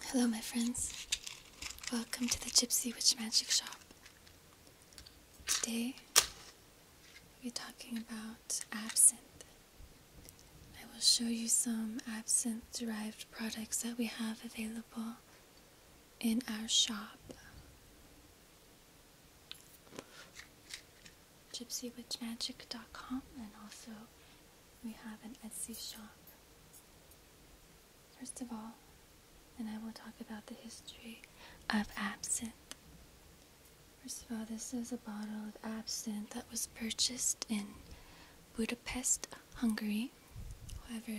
Hello, my friends. Welcome to the Gypsy Witch Magic Shop. Today, we're talking about absinthe. I will show you some absinthe derived products that we have available in our shop. gypsywitchmagic.com and also we have an Etsy shop. First of all, and I will talk about the history of absinthe. First of all, this is a bottle of absinthe that was purchased in Budapest, Hungary. However,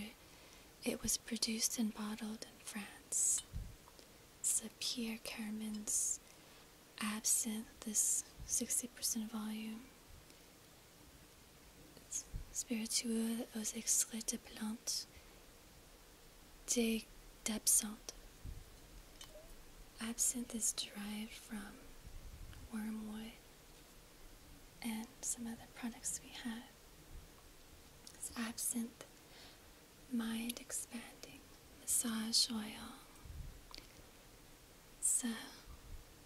it was produced and bottled in France. It's a Pierre Kerman's absinthe, this 60% volume spiritueux aux extraits de plantes, thé d'absinthe. Absinthe is derived from wormwood and some other products we have. absinthe, mind expanding, massage oil, so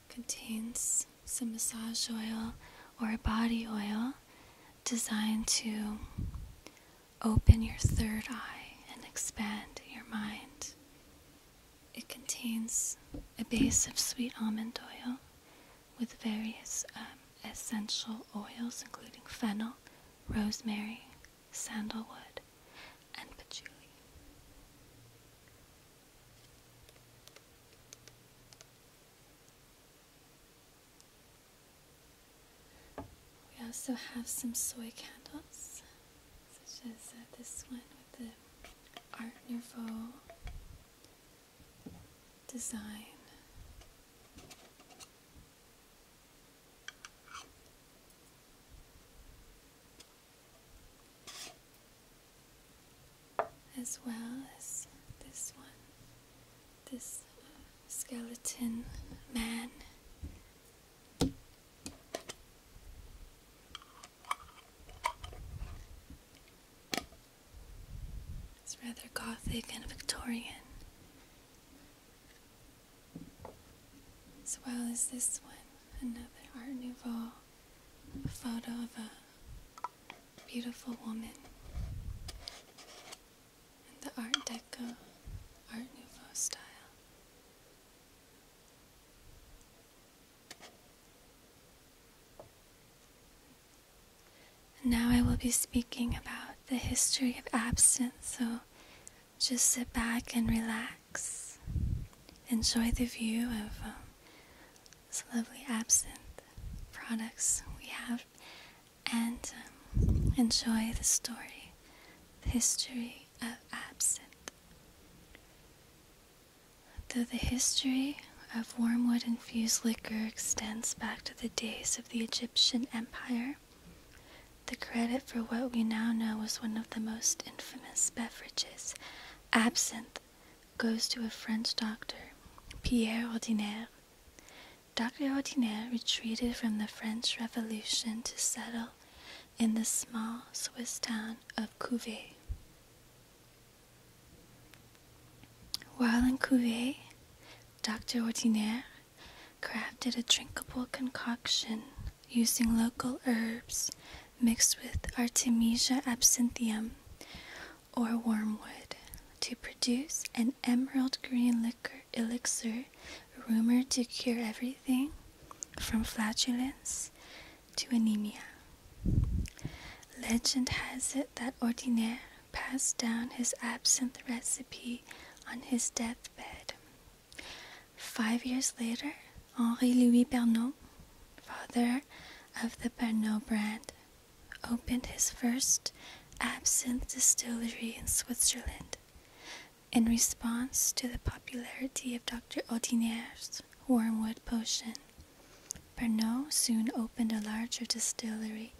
contains some massage oil or body oil designed to open your third eye and expand your mind. It contains a base of sweet almond oil with various um, essential oils, including fennel, rosemary, sandalwood, and patchouli. We also have some soy candles, such as uh, this one with the Art Nouveau design as well as this one, this skeleton man. It's rather gothic and Victorian. As well as this one, another Art Nouveau photo of a beautiful woman in the Art Deco, Art Nouveau style. Now I will be speaking about the history of absinthe, so just sit back and relax. Enjoy the view of um, this lovely absinthe products we have and um, enjoy the story, the history of absinthe. Though the history of wormwood infused liquor extends back to the days of the Egyptian Empire, the credit for what we now know as one of the most infamous beverages, absinthe, goes to a French doctor, Pierre Ordinaire. Dr. Ordinaire retreated from the French Revolution to settle in the small Swiss town of Couvet. While in Couvet, Dr. Ordinaire crafted a drinkable concoction using local herbs mixed with Artemisia absinthium, or wormwood to produce an emerald green liquor elixir rumored to cure everything from flatulence to anemia. Legend has it that Ordinaire passed down his absinthe recipe on his deathbed. Five years later, Henri Louis Bernault father of the Bernou brand, opened his first absinthe distillery in Switzerland. In response to the popularity of Dr. Audinier's wormwood potion, Bernou soon opened a larger distillery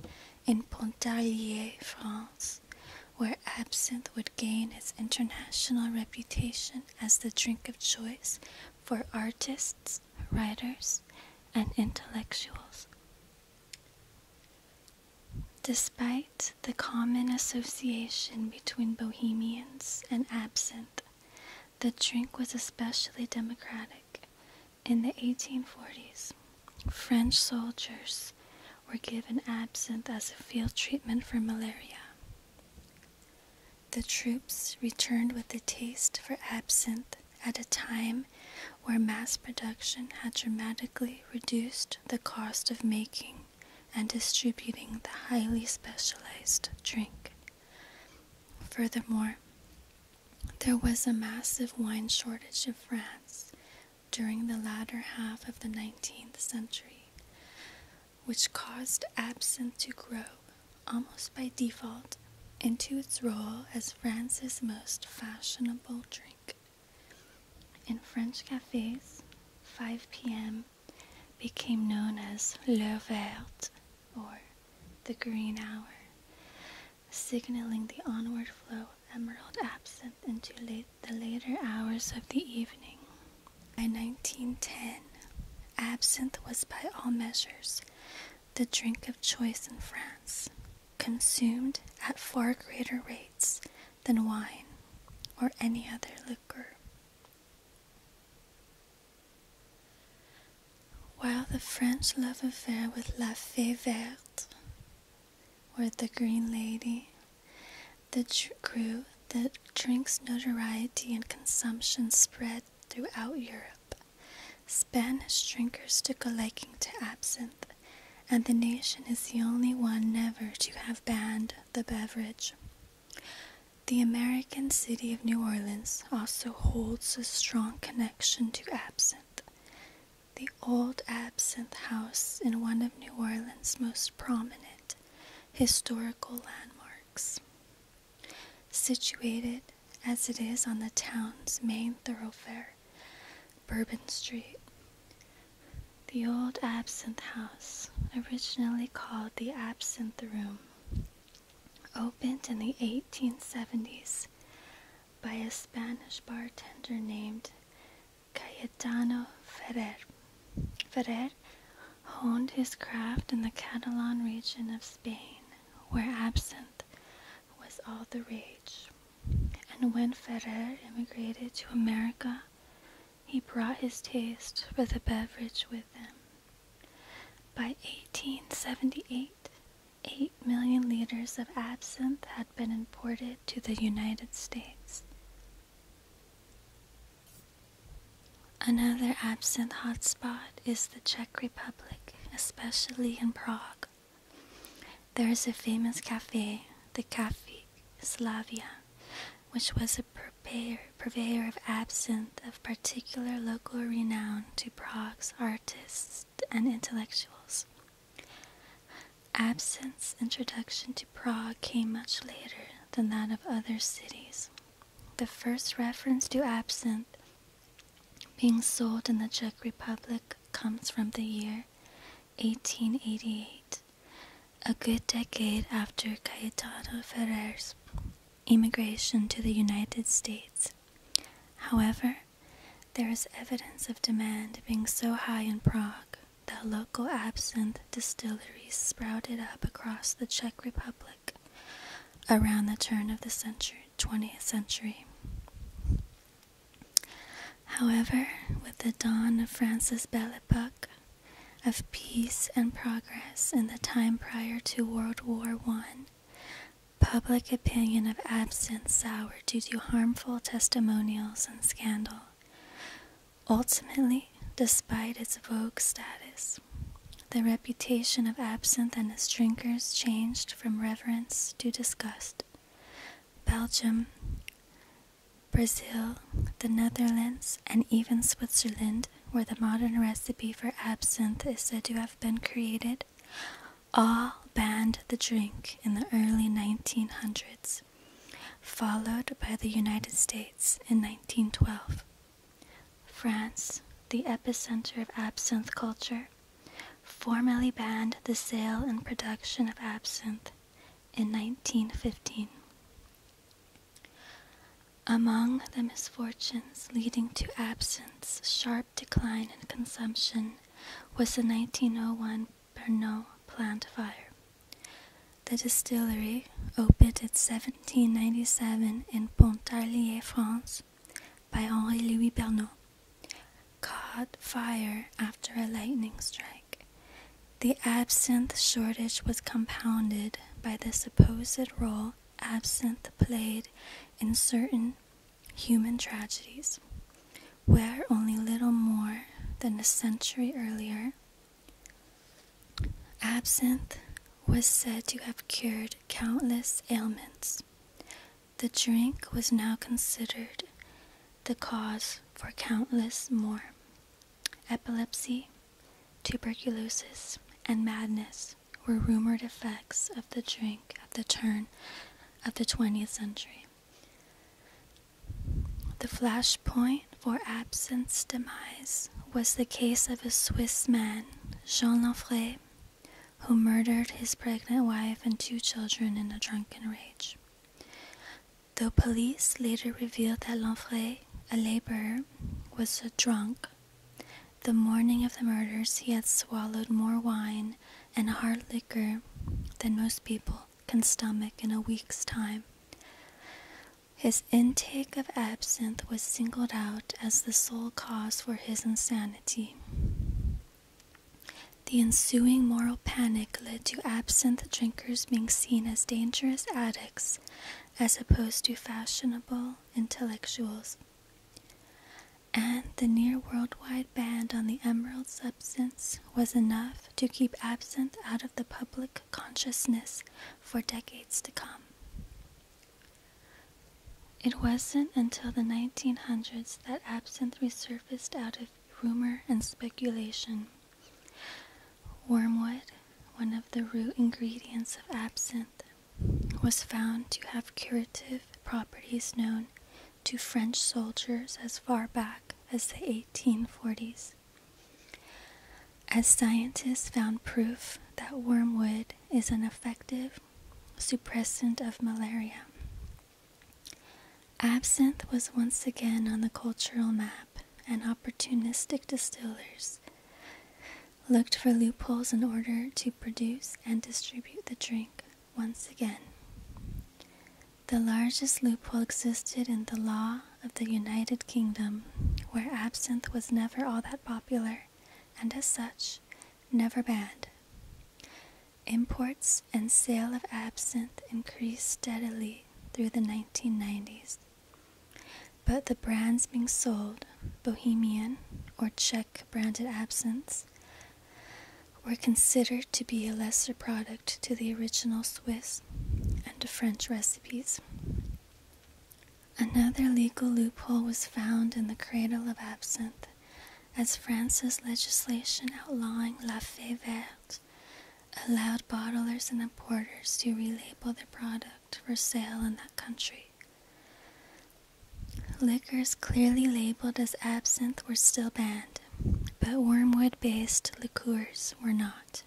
in Pontarlier, France, where absinthe would gain its international reputation as the drink of choice for artists writers, and intellectuals. Despite the common association between Bohemians and absinthe, the drink was especially democratic. In the 1840s, French soldiers were given absinthe as a field treatment for malaria. The troops returned with a taste for absinthe at a time where mass production had dramatically reduced the cost of making and distributing the highly specialized drink. Furthermore, there was a massive wine shortage in France during the latter half of the 19th century, which caused absinthe to grow almost by default into its role as France's most fashionable drink. In French cafes, 5 p.m. became known as l'heure verte, or the green hour, signaling the onward flow of emerald absinthe into the later hours of the evening. By 1910, absinthe was by all measures the drink of choice in France, consumed at far greater rates than wine or any other liquor. While the French love affair with La Fée Verte, or the Green Lady, that grew, that drink's notoriety and consumption spread throughout Europe Spanish drinkers took a liking to absinthe, and the nation is the only one never to have banned the beverage. The American city of New Orleans also holds a strong connection to absinthe. The old absinthe house is one of New Orleans' most prominent historical landmarks. Situated as it is on the town's main thoroughfare, Bourbon Street, the old Absinthe House, originally called the Absinthe Room, opened in the 1870s by a Spanish bartender named Cayetano Ferrer. Ferrer honed his craft in the Catalan region of Spain, where absinthe was all the rage. And when Ferrer immigrated to America, he brought his taste for the beverage with him. By 1878, 8 million liters of absinthe had been imported to the United States. Another absinthe hotspot is the Czech Republic especially in Prague. There is a famous cafe, the Cafe Slavia, which was a purveyor, purveyor of absinthe of particular local renown to Prague's artists and intellectuals. Absinthe's introduction to Prague came much later than that of other cities. The first reference to absinthe being sold in the Czech Republic comes from the year 1888, a good decade after Cayetano Ferrer's immigration to the United States. However, there is evidence of demand being so high in Prague that local absinthe distilleries sprouted up across the Czech Republic around the turn of the century, 20th century. However, with the dawn of Francis Belle Epoque, of peace and progress in the time prior to World War I, public opinion of absinthe soured due to harmful testimonials and scandal. Ultimately, despite its vogue status, the reputation of absinthe and its drinkers changed from reverence to disgust. Belgium, Brazil, the Netherlands, and even Switzerland, where the modern recipe for absinthe is said to have been created, all banned the drink in the early 1900s, followed by the United States in 1912. France, the epicenter of absinthe culture, formally banned the sale and production of absinthe in 1915. Among the misfortunes leading to absinthe's sharp decline in consumption was the 1901 Pernod plant fire. The distillery, opened in 1797 in Pontarlier, France, by Henri Louis Bernot, caught fire after a lightning strike. The absinthe shortage was compounded by the supposed role absinthe played in certain human tragedies, where only little more than a century earlier, absinthe was said to have cured countless ailments. The drink was now considered the cause for countless more epilepsy, tuberculosis, and madness were rumored effects of the drink at the turn of the 20th century. The flashpoint for absinthe demise was the case of a Swiss man, Jean Lanfray, who murdered his pregnant wife and two children in a drunken rage. Though police later revealed that Lanfray, a laborer, was a drunk, the morning of the murders he had swallowed more wine and hard liquor than most people can stomach in a week's time. His intake of absinthe was singled out as the sole cause for his insanity. The ensuing moral panic led to absinthe drinkers being seen as dangerous addicts as opposed to fashionable intellectuals. And the near worldwide ban on the emerald substance was enough to keep absinthe out of the public consciousness for decades to come. It wasn't until the 1900s that absinthe resurfaced out of rumor and speculation. Wormwood, one of the root ingredients of absinthe, was found to have curative properties known to French soldiers as far back as the 1840s. As scientists found proof that wormwood is an effective suppressant of malaria. Absinthe was once again on the cultural map, and opportunistic distillers looked for loopholes in order to produce and distribute the drink once again. The largest loophole existed in the law of the United Kingdom, where absinthe was never all that popular, and as such, never banned. Imports and sale of absinthe increased steadily through the 1990s, but the brands being sold, Bohemian or Czech branded absinthe, were considered to be a lesser product to the original Swiss and French recipes. Another legal loophole was found in the cradle of absinthe as France's legislation outlawing Lafay Verte allowed bottlers and importers to relabel their product for sale in that country. Liquors clearly labeled as absinthe were still banned, but wormwood based liqueurs were not.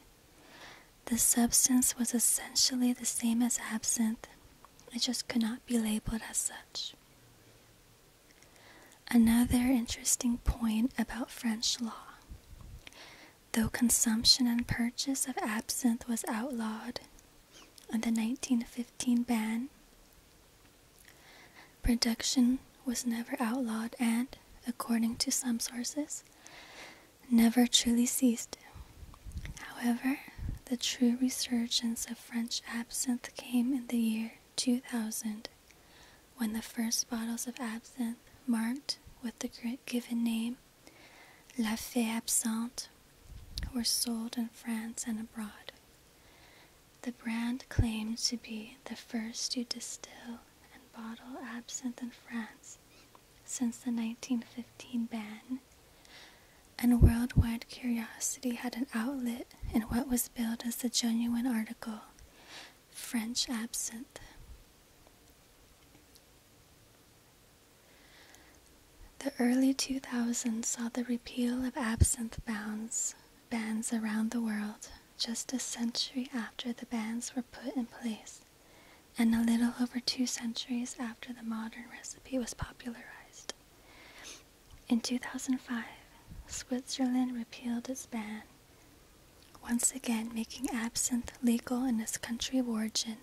The substance was essentially the same as absinthe, it just could not be labeled as such. Another interesting point about French law. Though consumption and purchase of absinthe was outlawed in the 1915 ban, production was never outlawed and, according to some sources, never truly ceased. However, the true resurgence of French absinthe came in the year 2000, when the first bottles of absinthe, marked with the given name La Fée Absente, were sold in France and abroad. The brand claimed to be the first to distill and bottle absinthe in France since the 1915 ban and worldwide curiosity had an outlet in what was billed as the genuine article, French absinthe. The early 2000s saw the repeal of absinthe bans, bans around the world, just a century after the bans were put in place, and a little over two centuries after the modern recipe was popularized. In 2005, Switzerland repealed its ban, once again making absinthe legal in its country of origin.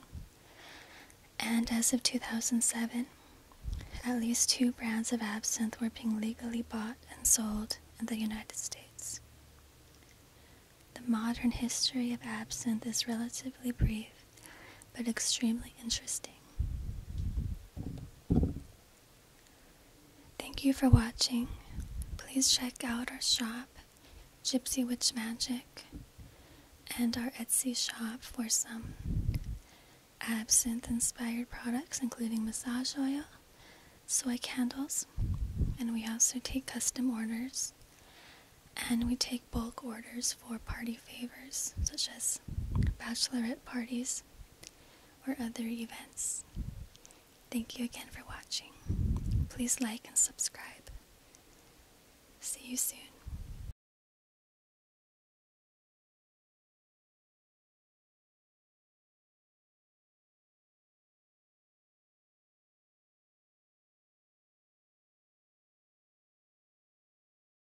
And as of 2007, at least two brands of absinthe were being legally bought and sold in the United States. The modern history of absinthe is relatively brief, but extremely interesting. Thank you for watching. Please check out our shop, Gypsy Witch Magic, and our Etsy shop for some absinthe inspired products, including massage oil, soy candles, and we also take custom orders and we take bulk orders for party favors, such as bachelorette parties or other events. Thank you again for watching. Please like and subscribe. See you soon.